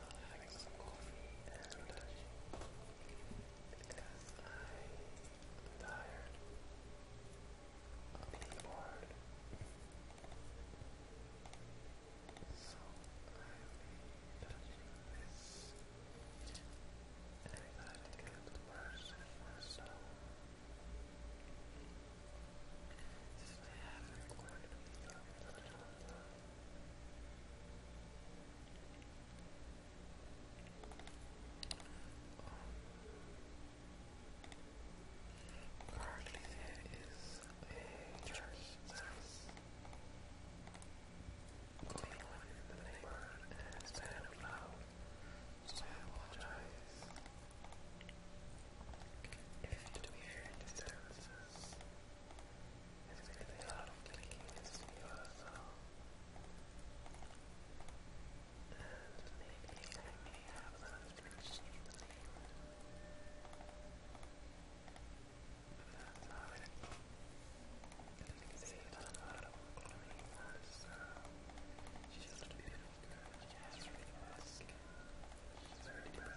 I'll having some coffee and because I'm tired, I'm bored. So I'll be this. And I thought I'd get the brush and myself. have a video in Currently, there is a church service going in the neighborhood and it's kind of so I apologize if you do hear disturbances. It's really a lot of clicking in maybe I may have another change in the name. it is. a lot of cloning as just a beautiful girl. She has really good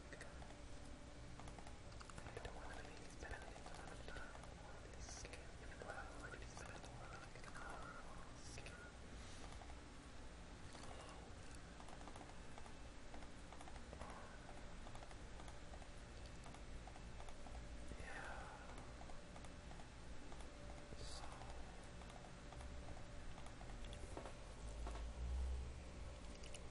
I don't want to be spending a lot of time on this skin. Well, I want to be spending like an hour on this skin. Yeah. So. I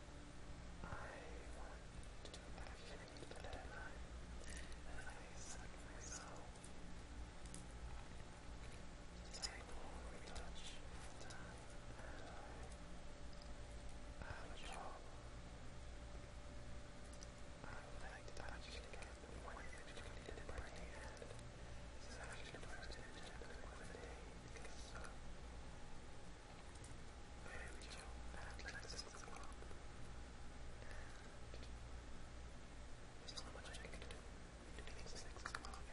want to actually live at night, and I set myself I will retouch time, and I have a I would like to actually get one hand. This is actually the first educated by the day, because there we go. And like this is the one. I can do. It means the six o'clock and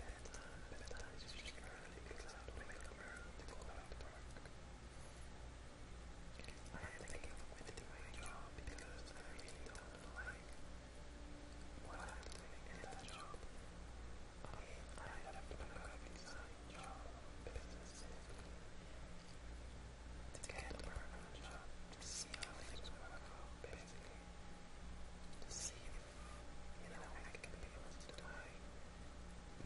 bedtime. Bedtime is usually early because I don't wake up early to go out to work. I had to give up with my job because I really don't like what I'm doing in that job. I, I have to look up inside job. To get a To see how things work out, basically. To see if, you know, I can be able to die.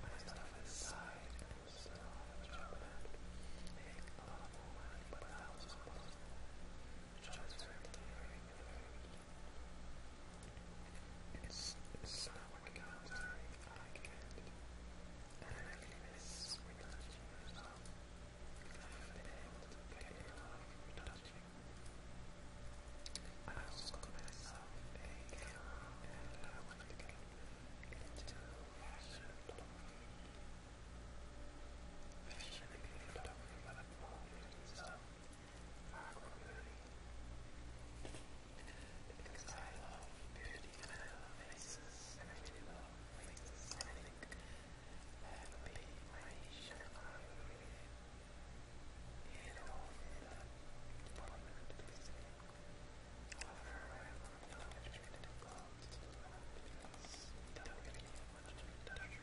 My stuff aside, and still have a job and make a lot more but I was supposed to transfer to the very, very it's, it's not working out the way And I think this will not I've been able to get it without you. I also got myself and I want to get into fashion photography. Fashion and photography, but more so our community. Because I love beauty and I love faces and I do love faces and I think that will be my niche and I really hit off in that department basically. However, I love the educated clothes to do that because we don't really get much of a touch. I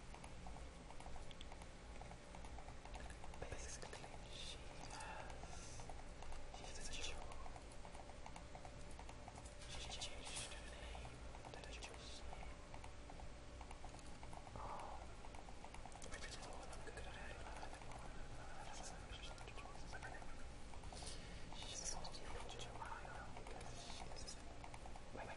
Basically, she's she's a Jew. She changed the Jewish name. Um, which is all i She's called you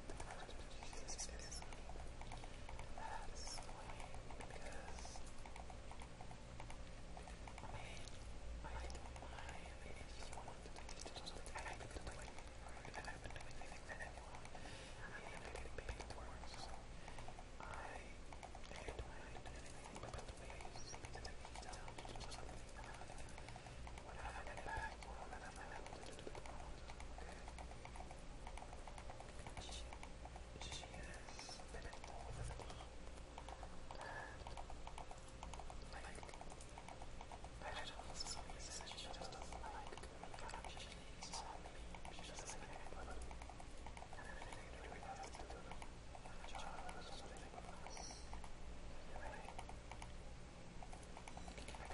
Jesus, it is that is so because I mean, I don't mind I mean, if you want to take it to something I have been doing it, and I've been doing anything that anyone I mean, I'm getting paid to work, so I, I don't mind anything but the way you see me to take it down to do something that I'm when I have my back, or when I'm able to do it, okay? she has been involved with me, and like, I don't know, for some reason she just doesn't like me actually me, she doesn't like anyone, and everything really has to do with my child or something anyway, I don't know what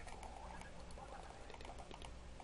I really want to do.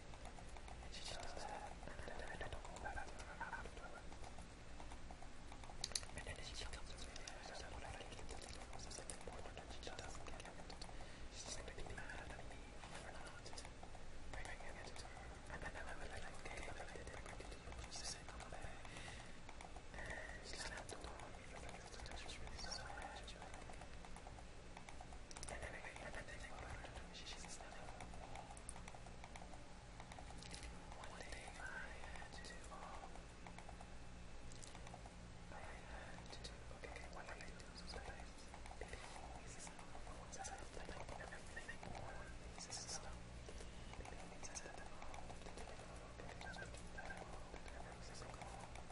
She just does that. And then I don't go back to her after And then she comes to me and says, I don't like it. This is like important and she just doesn't get it. She's like really mad at me for not bringing it to her. And then I was like, okay, but I didn't bring it to you. She said, come back. And she slammed the door on me. She was really sorry. She was like, one day I had to, um, I had to, okay, what I do is that I pick all these phones that I like everything on these system. Maybe I need to set them all, to do it all, because I do that all, every single one.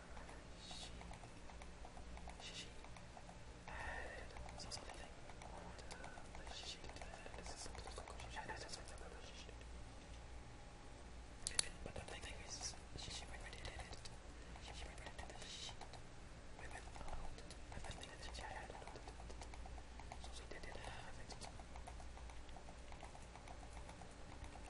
she, she had something that she did. This is something she had something that she did. But the thing is, she, she went and did it. She, she went and did it. She went out. But I think that she had it. So she did it. I think so.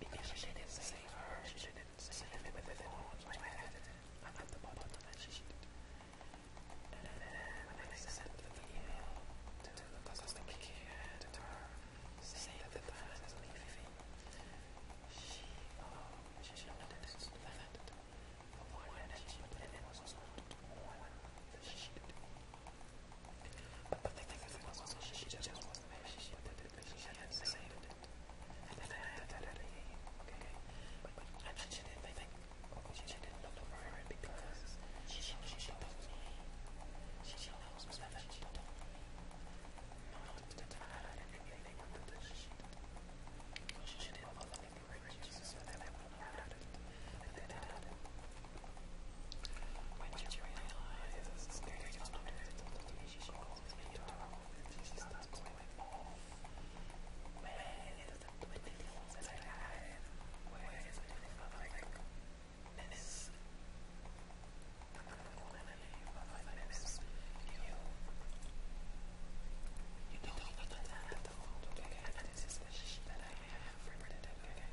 Because she didn't save her, she didn't save me with the horns, I had it, I'm at the bottom and she did. And then when I sent the email to the customer care to her, saying that the plan is leaving, she, oh, she noticed that the one that she put in was not one that she did. But the thing was, she just wasn't happy. She hadn't saved it. And if I had that at okay? But she didn't think, she didn't look over it because she knows me. She knows me that she told me. Not the time and everything under the sheet. She didn't look over it, she said that I would have had it. And then I had it. When she realizes the spirit of the she calls me a dog and she starts going off. Man, is the twenty-four that I have? Where is everything like this? I'm not gonna leave, but I miss you. You don't need to tell that, okay? And this is the shit that I have for today, okay?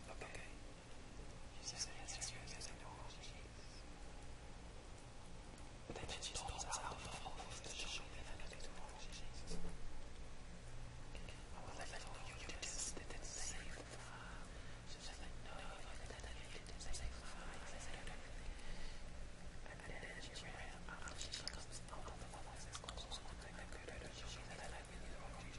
Okay. Using the ancestors as a normal They mentioned all about the fall of the children and the normal diseases. I will let all you do this that is safe and far. So that I know that I need to save my life and everything. And then energy ran out of she comes out of the life that's close to the good energy that I need to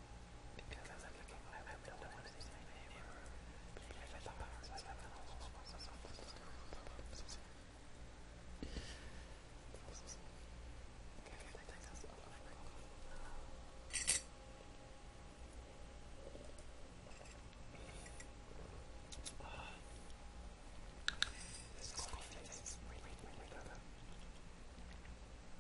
because as I'm looking at it, I don't know what it is in my neighbor. Maybe if I thought about it, I would have also spoken to someone else. Okay, I think that's all I know. This coffee tastes really, really good. I